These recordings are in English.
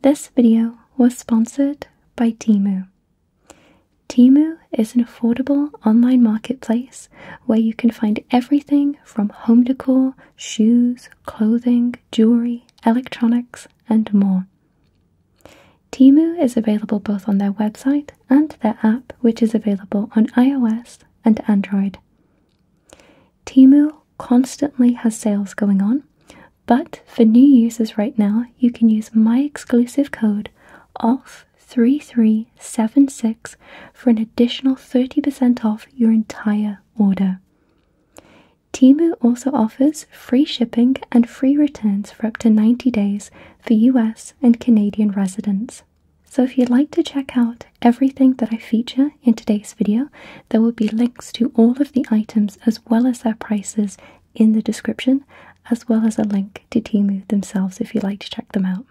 This video was sponsored by Timu. Timu is an affordable online marketplace where you can find everything from home decor, shoes, clothing, jewelry, electronics, and more. Timu is available both on their website and their app, which is available on iOS and Android. Timu constantly has sales going on, but for new users right now, you can use my exclusive code OFF3376 for an additional 30% off your entire order. Timu also offers free shipping and free returns for up to 90 days for US and Canadian residents. So if you'd like to check out everything that I feature in today's video there will be links to all of the items as well as their prices in the description, as well as a link to Timu themselves if you'd like to check them out.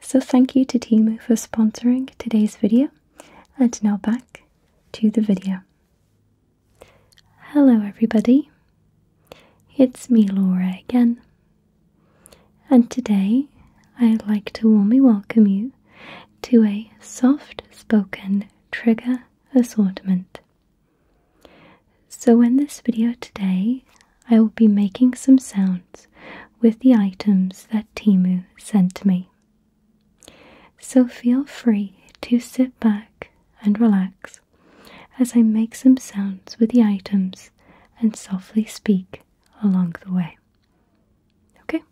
So, thank you to Timu for sponsoring today's video, and now back to the video. Hello, everybody, it's me, Laura, again, and today I'd like to warmly welcome you to a soft spoken trigger assortment. So in this video today, I will be making some sounds with the items that Timu sent me. So feel free to sit back and relax as I make some sounds with the items and softly speak along the way. Okay.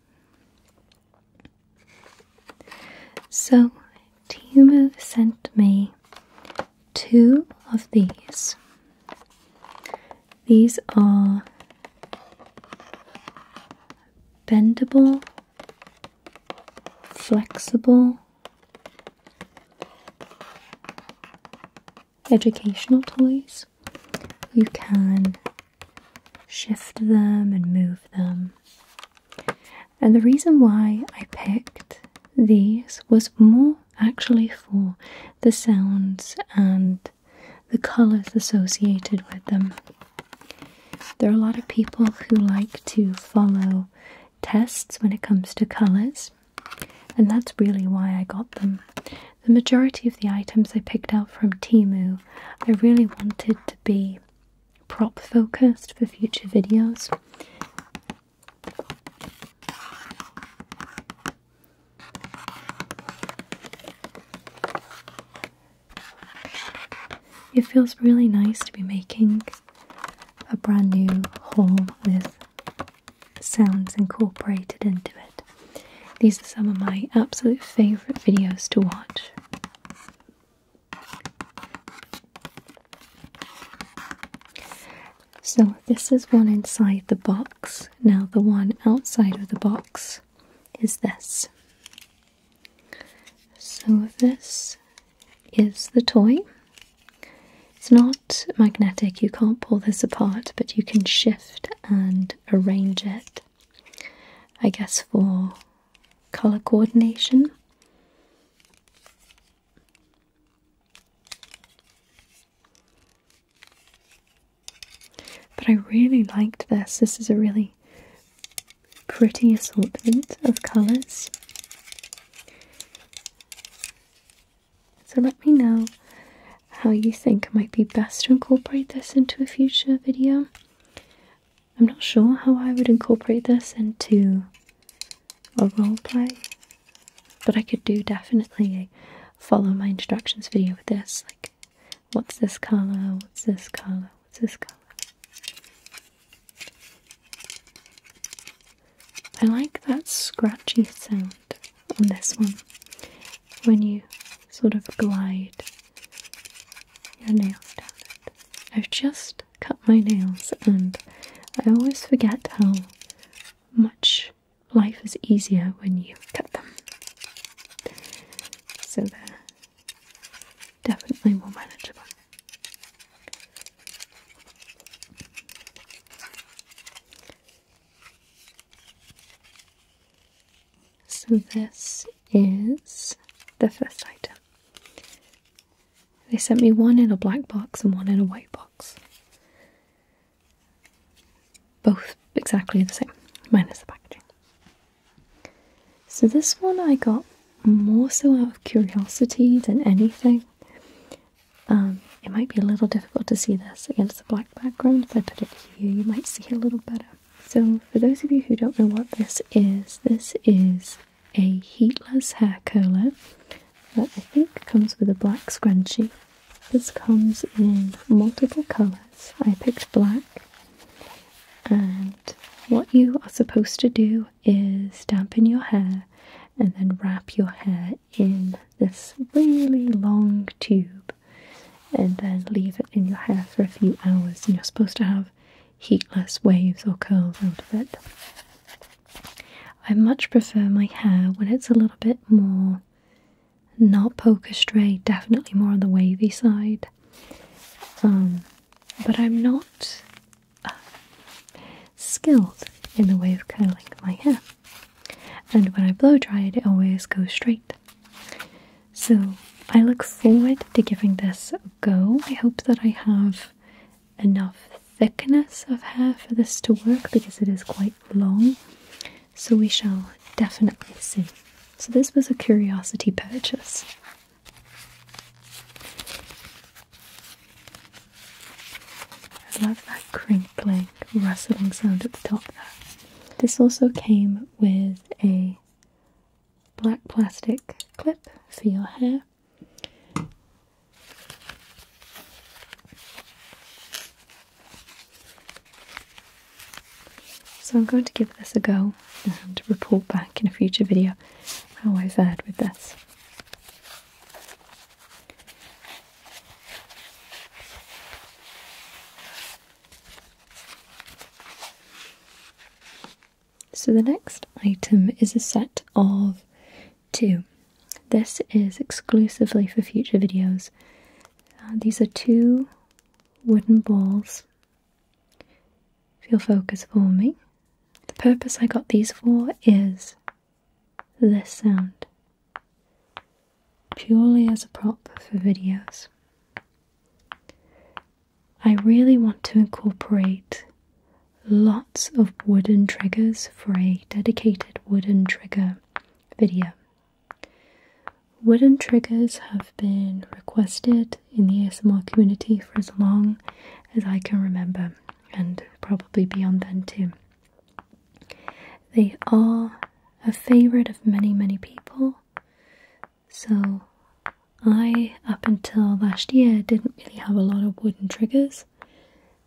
So, Timo sent me two of these. These are bendable, flexible educational toys. You can shift them and move them. And the reason why I picked these was more actually for the sounds and the colors associated with them. There are a lot of people who like to follow tests when it comes to colors, and that's really why I got them. The majority of the items I picked out from Timu, I really wanted to be prop focused for future videos. It feels really nice to be making a brand new haul with sounds incorporated into it. These are some of my absolute favourite videos to watch so, this is one inside the box. Now, the one outside of the box is this. So, this is the toy. It's not magnetic, you can't pull this apart, but you can shift and arrange it I guess for color coordination. But I really liked this. This is a really pretty assortment of colours. So let me know how you think might be best to incorporate this into a future video. I'm not sure how I would incorporate this into a roleplay, but I could do definitely a follow my instructions video with this. Like, what's this color? What's this color? What's this color? I like that scratchy sound on this one when you sort of glide your nails I've just cut my nails and I always forget how much life is easier when you cut them. So they definitely more manageable. So, this is the first item. They sent me one in a black box and one in a white box. Both exactly the same, minus the packaging. So, this one I got more so out of curiosity than anything. Um, it might be a little difficult to see this against the black background. If I put it here, you might see it a little better. So, for those of you who don't know what this is, this is a heatless hair curler that I think comes with a black scrunchie. This comes in multiple colours. I picked black, and what you are supposed to do is dampen your hair and then wrap your hair in this really long tube and then leave it in your hair for a few hours. And you're supposed to have heatless waves or curls out of it. I much prefer my hair when it's a little bit more not poker straight, definitely more on the wavy side. Um, but I'm not uh, skilled in the way of curling my hair. And when I blow dry it, it always goes straight. So I look forward to giving this a go. I hope that I have enough thickness of hair for this to work because it is quite long. So we shall definitely see. So this was a curiosity purchase. I love that crinkling, rustling sound at the top This also came with a black plastic clip for your hair. So I'm going to give this a go and report back in a future video how I have fared with this. So the next item is a set of two. This is exclusively for future videos. Uh, these are two wooden balls. If focus for me. The purpose I got these for is this sound. Purely as a prop for videos. I really want to incorporate lots of wooden triggers for a dedicated wooden trigger video. Wooden triggers have been requested in the ASMR community for as long as I can remember, and probably beyond then too. They are a favorite of many, many people. So, I, up until last year, didn't really have a lot of wooden triggers.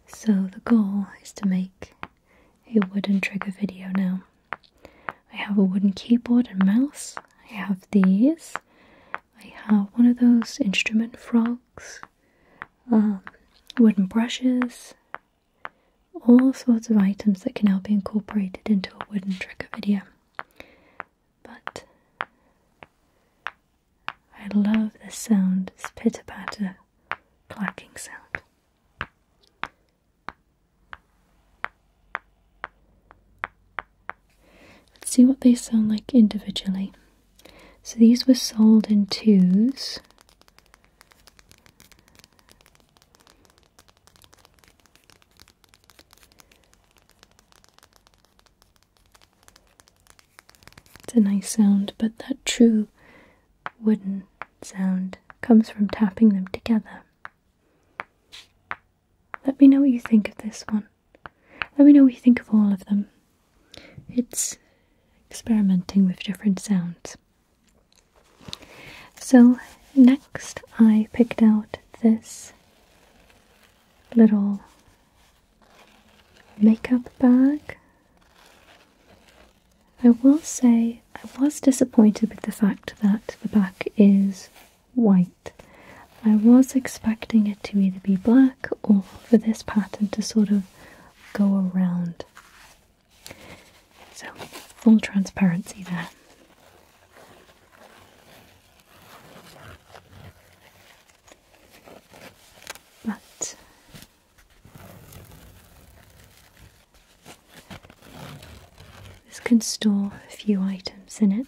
So, the goal is to make a wooden trigger video now. I have a wooden keyboard and mouse. I have these. I have one of those instrument frogs, um, wooden brushes, all sorts of items that can now be incorporated into a wooden trigger video but I love the sound, this pitter patter clacking sound. Let's see what they sound like individually. So these were sold in twos. It's a nice sound, but that true wooden sound comes from tapping them together. Let me know what you think of this one. Let me know what you think of all of them. It's experimenting with different sounds. So, next I picked out this little makeup bag. I will say I was disappointed with the fact that the back is white. I was expecting it to either be black or for this pattern to sort of go around. So, full transparency there. But this can store a few items in it.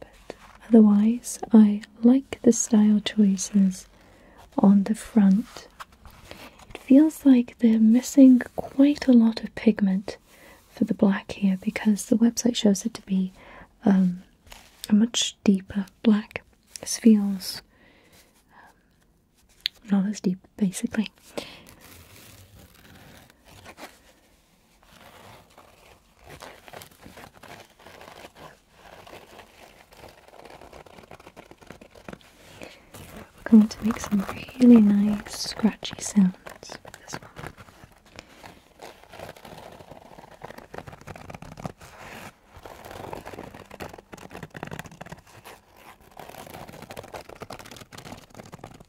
But otherwise, I like the style choices on the front. It feels like they're missing quite a lot of pigment for the black here because the website shows it to be um, a much deeper black. This feels um, not as deep, basically. We're going to make some really nice scratchy sounds with this one.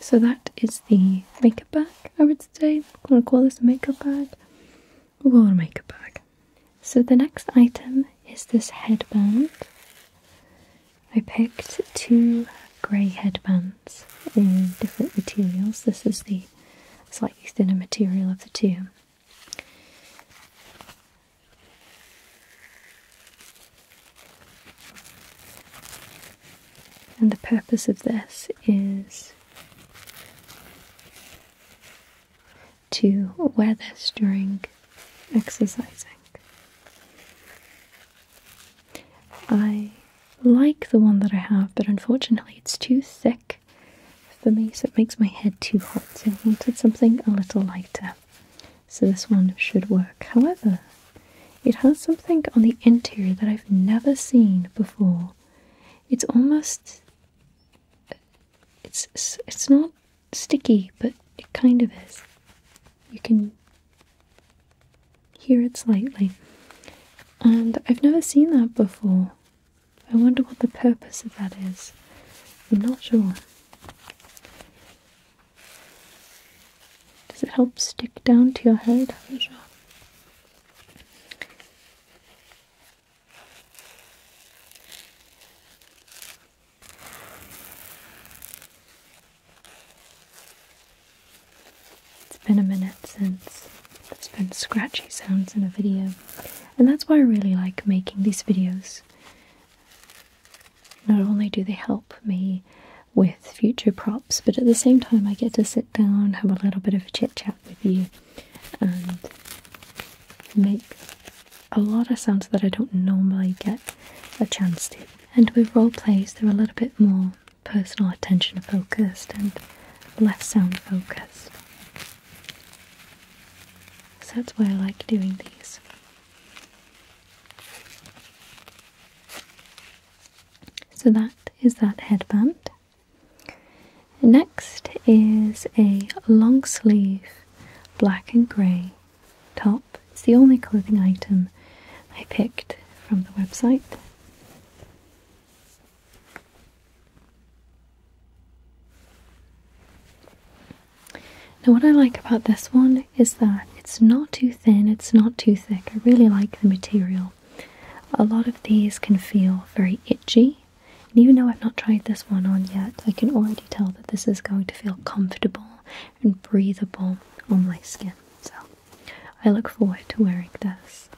So that is the makeup bag, I would say. I'm going to call this a makeup bag. We'll make a bag. So the next item is this headband. I picked two grey headbands in different materials. This is the slightly thinner material of the two. And the purpose of this is to wear this during exercising. I like the one that I have, but unfortunately it's too thick for me, so it makes my head too hot. So I wanted something a little lighter. So this one should work. However, it has something on the interior that I've never seen before. It's almost it's, it's not sticky, but it kind of is. You can hear it slightly, and I've never seen that before. I wonder what the purpose of that is. I'm not sure. Does it help stick down to your head? It's been a minute since there's been scratchy sounds in a video, and that's why I really like making these videos. Not only do they help me with future props, but at the same time, I get to sit down, have a little bit of a chit chat with you and make a lot of sounds that I don't normally get a chance to. And with role plays, they're a little bit more personal attention focused and less sound focused. So that's why I like doing these. So that is that headband. Next is a long sleeve black and grey top. It's the only clothing item I picked from the website. Now, what I like about this one is that it's not too thin, it's not too thick. I really like the material. A lot of these can feel very itchy and even though I've not tried this one on yet, I can already tell that this is going to feel comfortable and breathable on my skin. So I look forward to wearing this.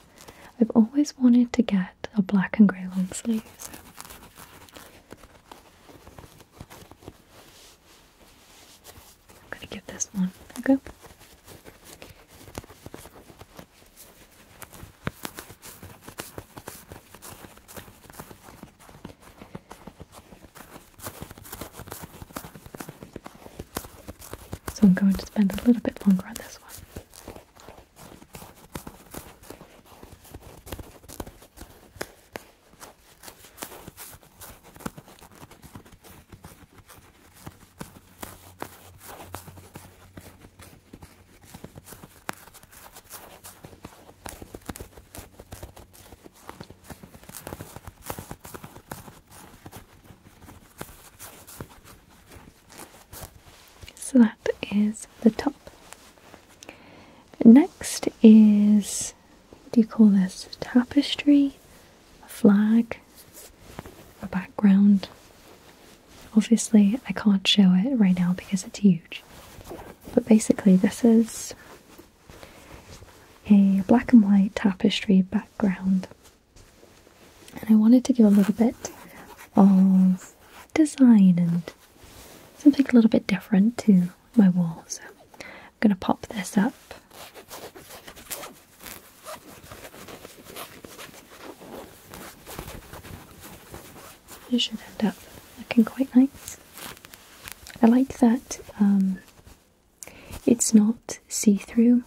I've always wanted to get a black and grey long sleeve. I'm going to give this one a so I'm going to spend a little bit longer on this one. So that is the top. Next is what do you call this? tapestry, a flag, a background, Obviously, I can't show it right now because it's huge. But basically, this is a black and white tapestry background. And I wanted to give a little bit of design and something a little bit different to my wall. So I'm going to pop this up. It should end up looking quite nice. I like that um, it's not see-through,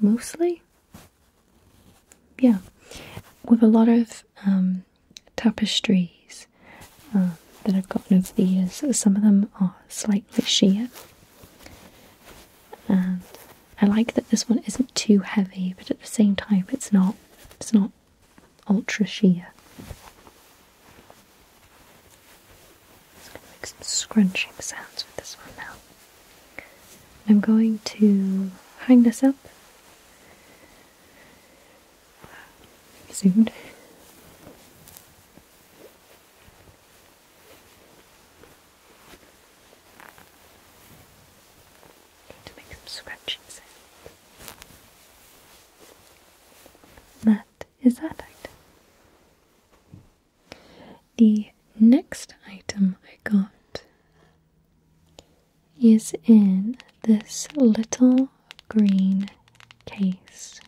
mostly. Yeah, with a lot of um, tapestries uh, that I've gotten over the years, some of them are slightly sheer and I like that this one isn't too heavy, but at the same time, it's not it's not ultra sheer. Just gonna make some scrunching sounds with this one now. I'm going to hang this up soon to make some scratching sound. That is that item. The next item I got is in this little green case.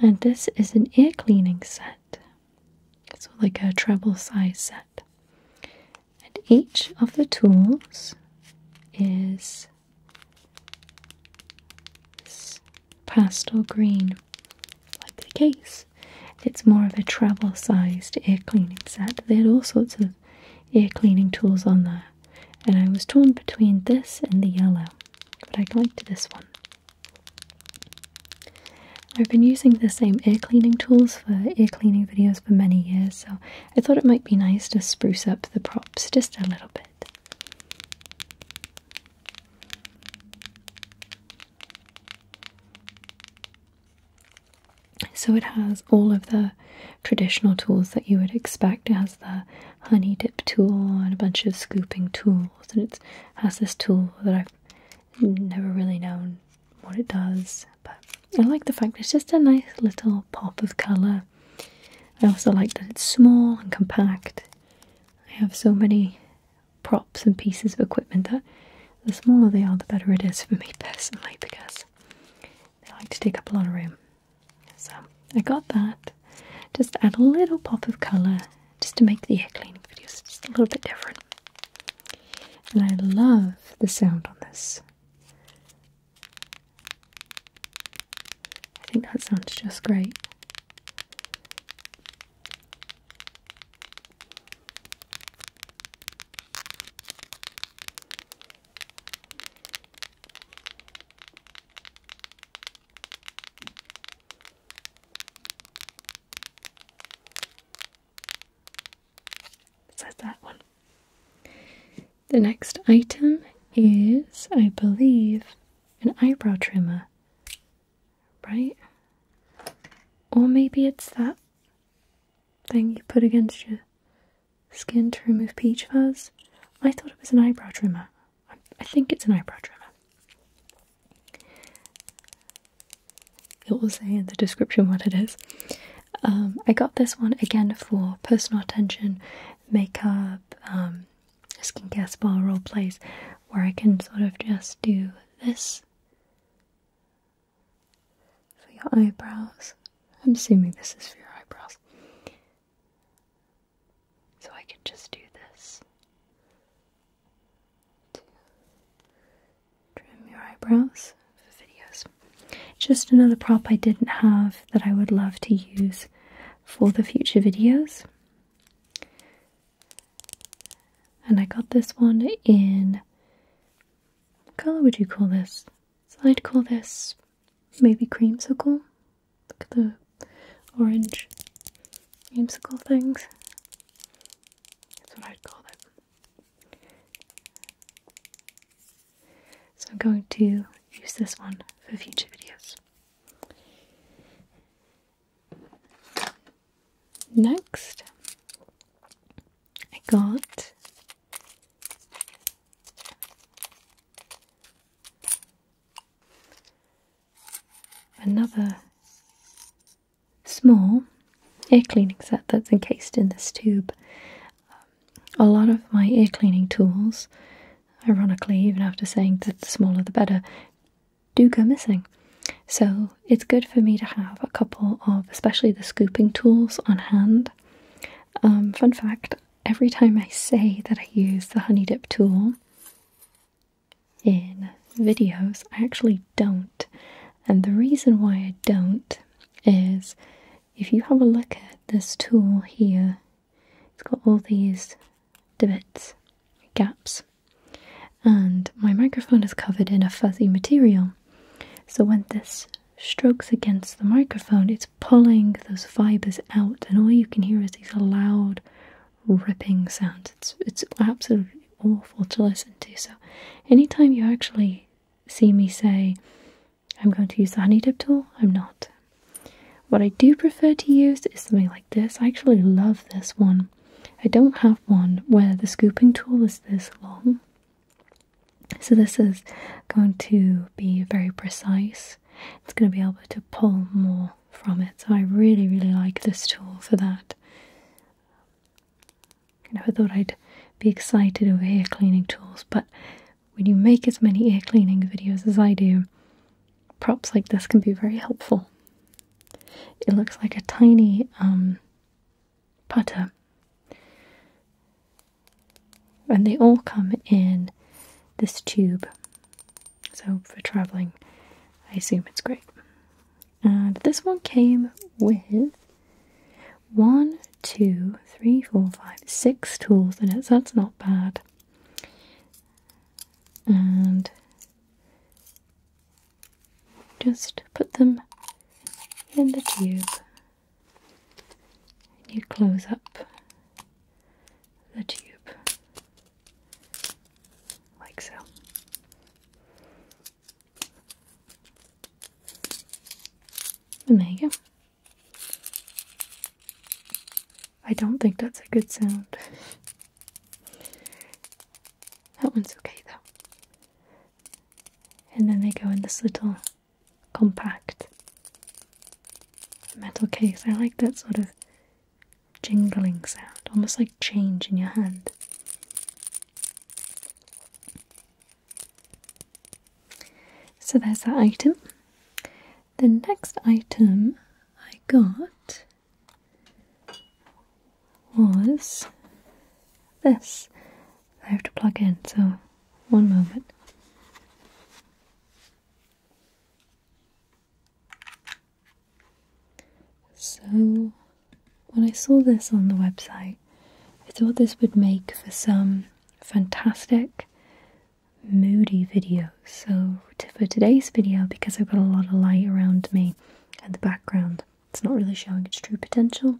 And this is an ear cleaning set. It's like a treble size set. And each of the tools is pastel green, like the case. It's more of a treble size air cleaning set. They had all sorts of air cleaning tools on there, and I was torn between this and the yellow, but I liked this one. I've been using the same ear cleaning tools for ear cleaning videos for many years, so I thought it might be nice to spruce up the props just a little bit. So it has all of the traditional tools that you would expect. It has the honey dip tool and a bunch of scooping tools, and it has this tool that I've never really known what it does, but I like the fact it's just a nice little pop of colour. I also like that it's small and compact. I have so many props and pieces of equipment that the smaller they are, the better it is for me personally because they like to take up a lot of room. So I got that. Just add a little pop of colour just to make the air cleaning videos just a little bit different. And I love the sound on this. I think that sounds just great. Says that one. The next item is, I believe, an eyebrow trimmer, right? Or maybe it's that thing you put against your skin to remove peach fuzz. I thought it was an eyebrow trimmer. I think it's an eyebrow trimmer. It will say in the description what it is. Um, I got this one again for personal attention, makeup, um, skincare spa role plays where I can sort of just do this for your eyebrows. I'm assuming this is for your eyebrows. So I can just do this trim your eyebrows for videos. Just another prop I didn't have that I would love to use for the future videos. And I got this one in what colour would you call this? So I'd call this maybe creamsicle. Look at the orange creamsicle things. That's what I'd call them. So I'm going to use this one for future videos. Next, I got another small air cleaning set that's encased in this tube. Um, a lot of my air cleaning tools, ironically, even after saying that the smaller the better, do go missing. So it's good for me to have a couple of, especially the scooping tools, on hand. Um, fun fact every time I say that I use the honey dip tool, in videos. I actually don't. And the reason why I don't is if you have a look at this tool here, it's got all these divots, gaps, and my microphone is covered in a fuzzy material. So when this strokes against the microphone, it's pulling those fibers out, and all you can hear is these loud ripping sounds. It's, it's absolutely awful to listen to. So, anytime you actually see me say, I'm going to use the honey dip tool, I'm not. What I do prefer to use is something like this. I actually love this one. I don't have one where the scooping tool is this long. So, this is going to be very precise. It's going to be able to pull more from it. So, I really, really like this tool for that. I never thought I'd be excited over ear cleaning tools, but when you make as many ear cleaning videos as I do, props like this can be very helpful. It looks like a tiny um, putter. And they all come in this tube. So for traveling, I assume it's great. And this one came with one, two, three, four, five, six tools in it, so that's not bad. And just put them in the tube. You close up the tube like so. And there you go. I don't think that's a good sound. that one's okay though. And then they go in this little compact metal case. I like that sort of jingling sound, almost like change in your hand. So there's that item. The next item I got was this. I have to plug in, so one moment. So, when I saw this on the website, I thought this would make for some fantastic moody videos. So, for today's video, because I've got a lot of light around me and the background, it's not really showing its true potential,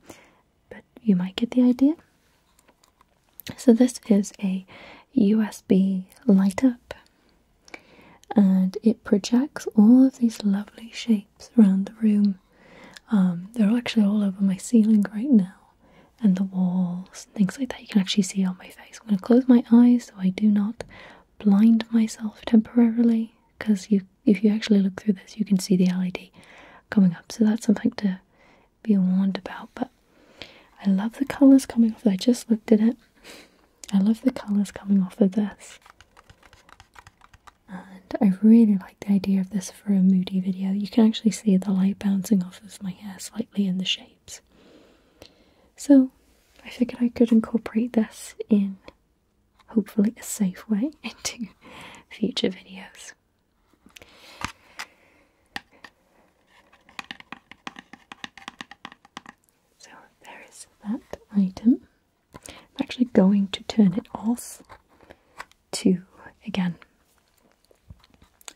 but you might get the idea. So, this is a USB light up, and it projects all of these lovely shapes around the room. Um, they're actually all over my ceiling right now and the walls things like that. You can actually see on my face. I'm going to close my eyes so I do not blind myself temporarily because you, if you actually look through this, you can see the LED coming up. So that's something to be warned about. But I love the colours coming off. I just looked at it. I love the colours coming off of this and I really like the idea of this for a moody video. You can actually see the light bouncing off of my hair slightly in the shapes. So I figured I could incorporate this in hopefully a safe way into future videos. So there is that item. I'm actually going to turn it off to again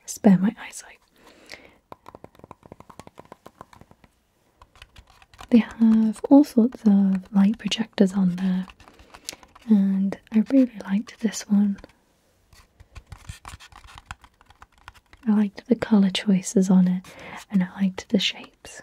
spare my eyesight. They have all sorts of light projectors on there, and I really liked this one. I liked the colour choices on it, and I liked the shapes.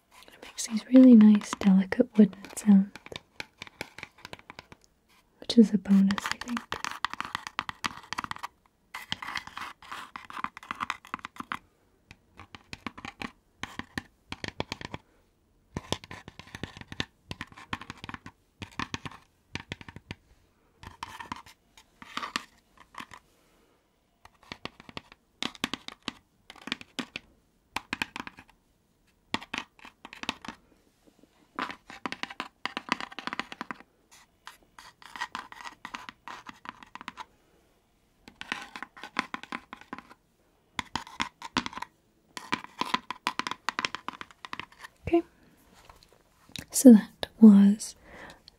It makes these really nice, delicate wooden sounds, which is a bonus, I think. Okay, so that was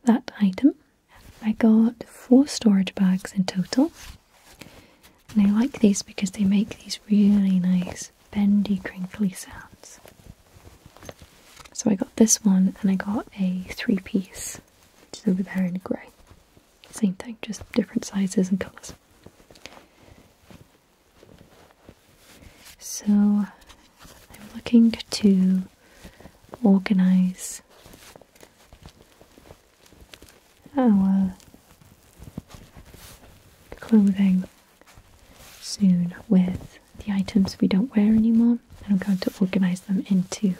that item. I got four storage bags in total. And I like these because they make these really nice bendy, crinkly sounds. So I got this one and I got a three piece, which is over there in grey. Same thing, just different sizes and colours. So I'm looking to organise our oh, clothing soon with the items we don't wear anymore. And I'm going to organize them into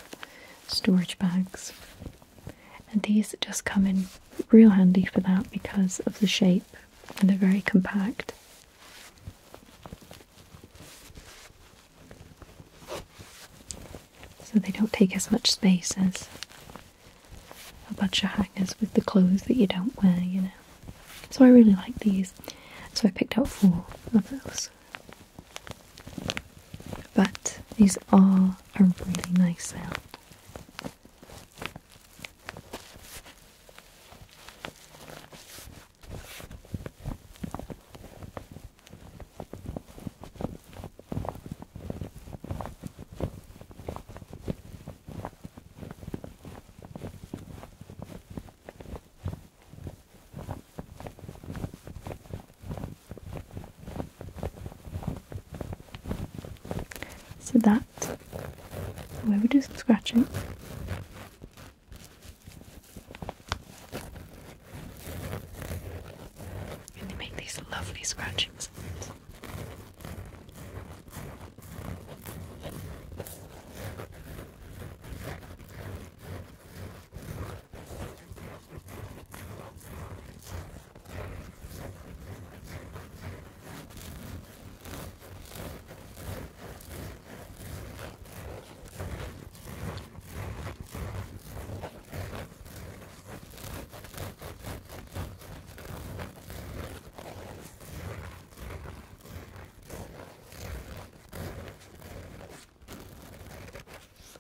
storage bags. And these just come in real handy for that because of the shape and they're very compact. So they don't take as much space as a bunch of hangers with the clothes that you don't wear, you know. So I really like these. So I picked out four of those. But these are a really nice sale. So that where we do some scratching. And they make these lovely scratching sounds.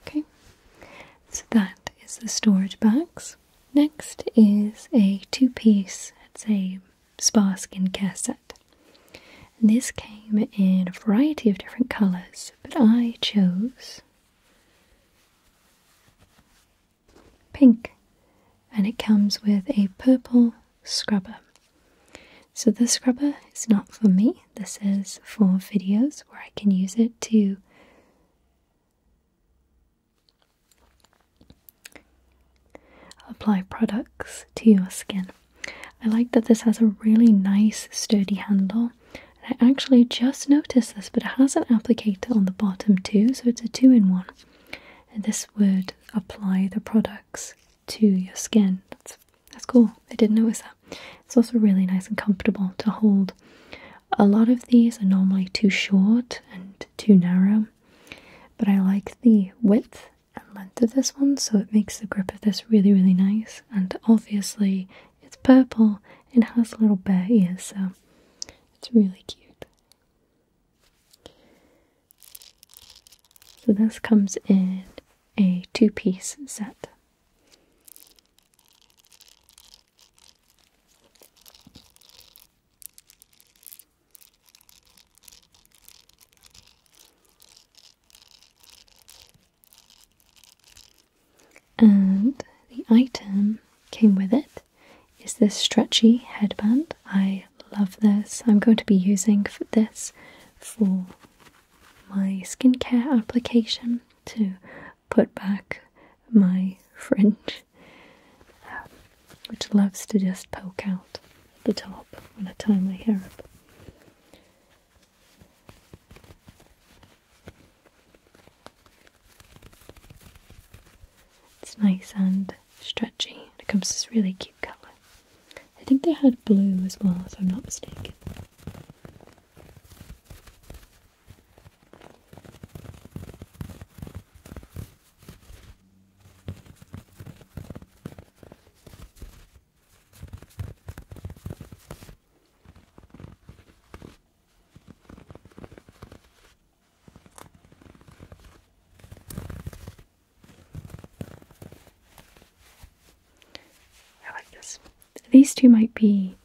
Okay, so that is the storage box. Next is a two piece, it's a spa skincare set. this came in a variety of different colours, but I chose pink and it comes with a purple scrubber. So the scrubber is not for me, this is for videos where I can use it to apply products to your skin. I like that this has a really nice sturdy handle I actually just noticed this, but it has an applicator on the bottom too, so it's a two in one. this would apply the products to your skin. That's, that's cool. I didn't notice that. It's also really nice and comfortable to hold. A lot of these are normally too short and too narrow, but I like the width and length of this one, so it makes the grip of this really, really nice. And obviously, it's purple and has little bear ears, so it's really cute. So this comes in a two-piece set. And the item came with it is this stretchy headband. I love this. I'm going to be using this for my skincare application to put back my fringe, um, which loves to just poke out the top when I tie my hair up. It's nice and stretchy, it comes this really cute colour. I think they had blue as well, if I'm not mistaken. I like this. These two might be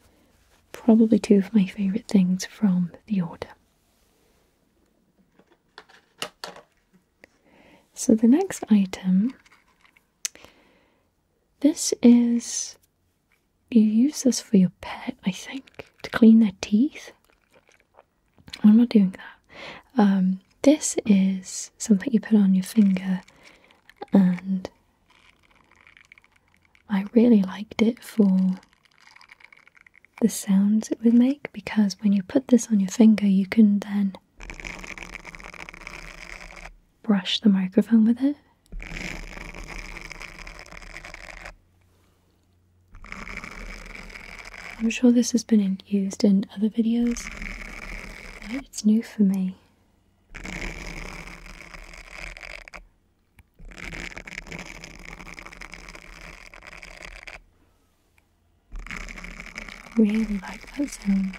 probably two of my favourite things from the order. So the next item, this is you use this for your pet, I think, to clean their teeth. Why am I doing that. Um, this is something you put on your finger, and I really liked it for the sounds it would make because when you put this on your finger, you can then brush the microphone with it. I'm sure this has been used in other videos, but it's new for me. really like that sound.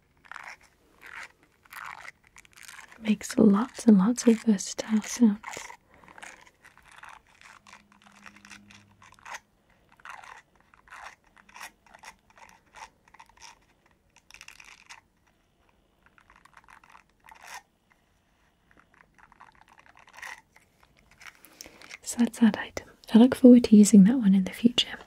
It makes lots and lots of versatile sounds. So that's item. I look forward to using that one in the future.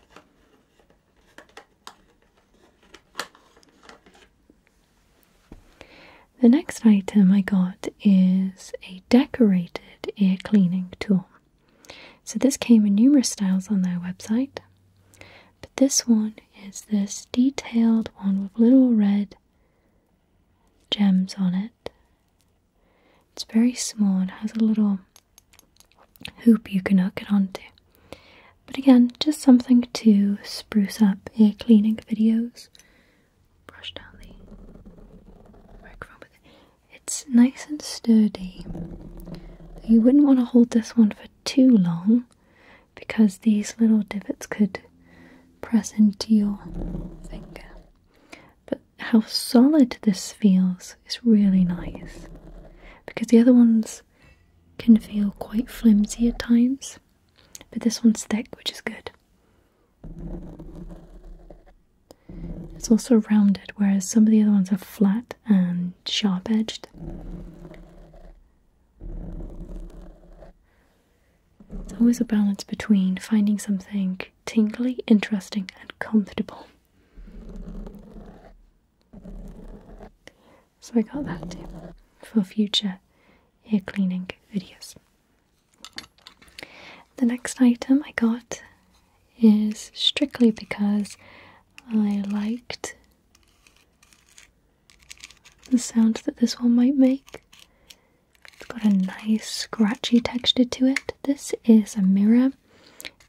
The next item I got is a decorated air cleaning tool. So, this came in numerous styles on their website, but this one is this detailed one with little red gems on it. It's very small and has a little hoop you cannot get onto. But again, just something to spruce up your cleaning videos. Brush down the microphone It's nice and sturdy. You wouldn't want to hold this one for too long because these little divots could press into your finger. But how solid this feels is really nice because the other ones can feel quite flimsy at times, but this one's thick, which is good. It's also rounded, whereas some of the other ones are flat and sharp edged. It's always a balance between finding something tingly, interesting, and comfortable. So I got that for future ear cleaning videos. The next item I got is strictly because I liked the sound that this one might make. It's got a nice scratchy texture to it. This is a mirror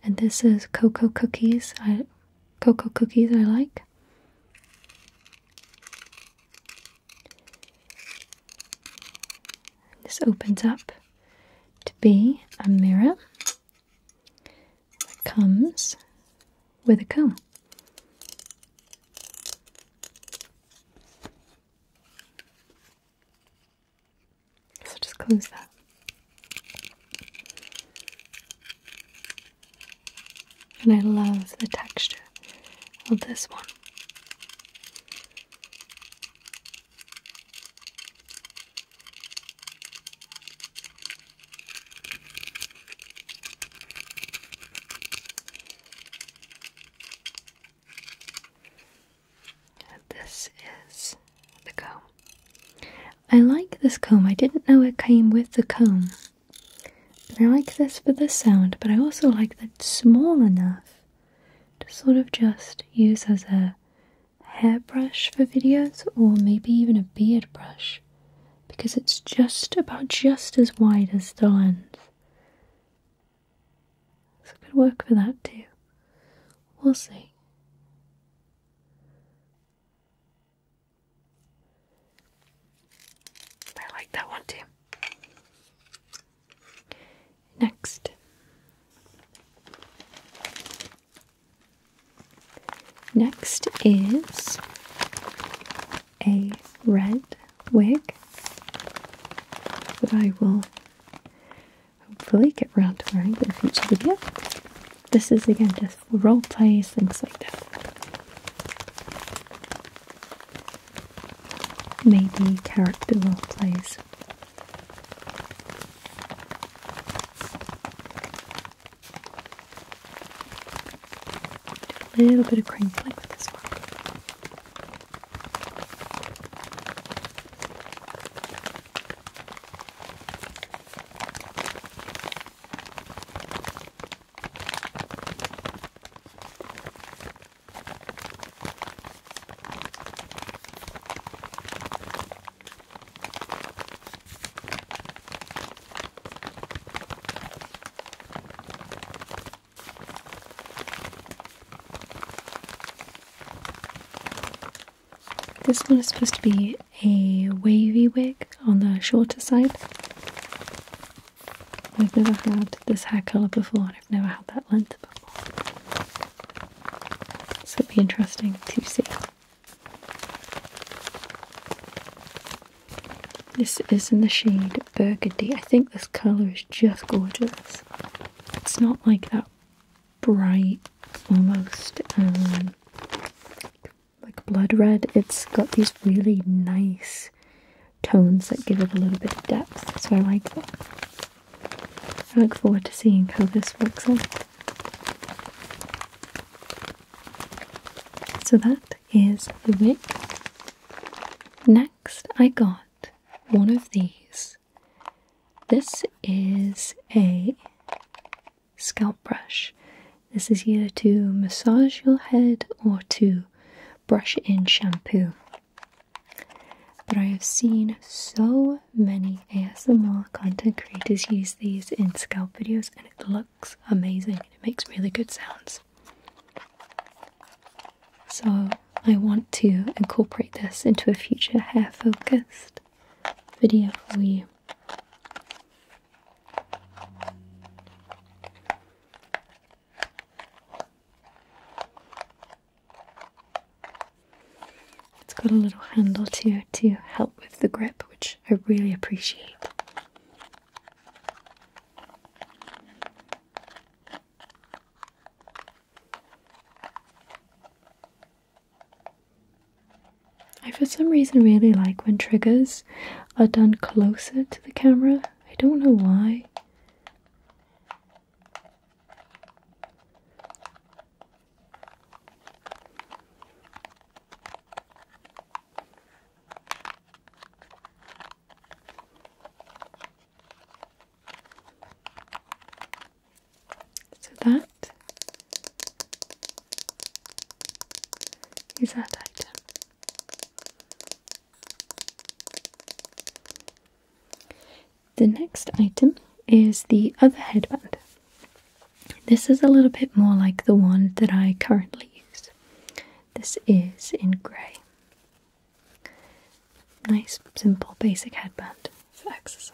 and this is cocoa cookies. I cocoa cookies I like. This opens up to be a mirror comes with a comb. So just close that. And I love the texture of this one. this is the comb. I like this comb. I didn't know it came with the comb. I like this for the sound, but I also like that it's small enough to sort of just use as a hairbrush for videos or maybe even a beard brush because it's just about just as wide as the lens. So it could work for that too. We'll see. I like that one too. Next, next is a red wig that I will hopefully get around to wearing in a future video this is again just role plays, things like that. Maybe character role plays. A little bit of crinkling with this one. This one is supposed to be a wavy wig on the shorter side. I've never had this hair colour before, and I've never had that length before. So it'll be interesting to see. This is in the shade Burgundy. I think this colour is just gorgeous. It's not like that bright, almost um, like blood red, it's got these really nice tones that give it a little bit of depth, so I like that. I look forward to seeing how this works out. So that is the wig. Next, I got one of these. This is a scalp brush. This is here to massage your head or to brush in shampoo. But I have seen so many ASMR content creators use these in scalp videos and it looks amazing. It makes really good sounds. So I want to incorporate this into a future hair focused video for you. It's got a little handle too to help with the grip, which I really appreciate. I, for some reason, really like when triggers are done closer to the camera. I don't know why. So that Use that item. The next item is the other headband. This is a little bit more like the one that I currently use. This is in grey. Nice, simple, basic headband for exercise.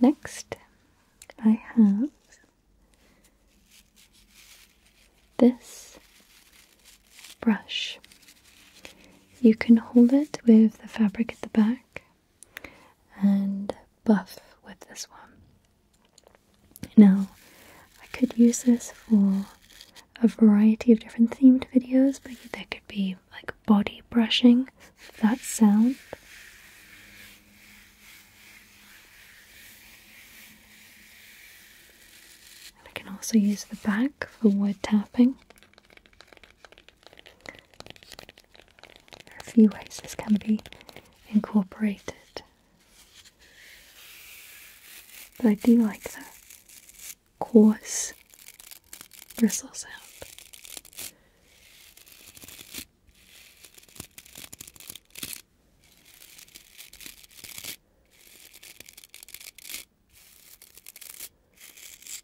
Next, I have this brush. You can hold it with the fabric at the back and buff with this one. Now, I could use this for a variety of different themed videos, but there could be like body brushing, that sound. I can also use the back for wood tapping. There are a few ways this can be incorporated. But I do like the coarse bristle sound.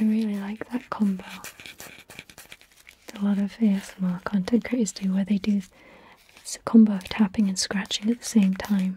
I really like that combo. A lot of ASMR content creators do where they do it's a combo of tapping and scratching at the same time.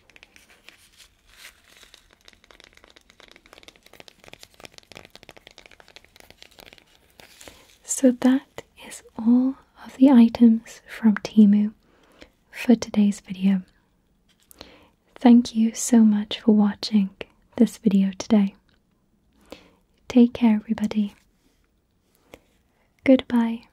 So that is all of the items from Timu for today's video. Thank you so much for watching this video today. Take care everybody. Goodbye.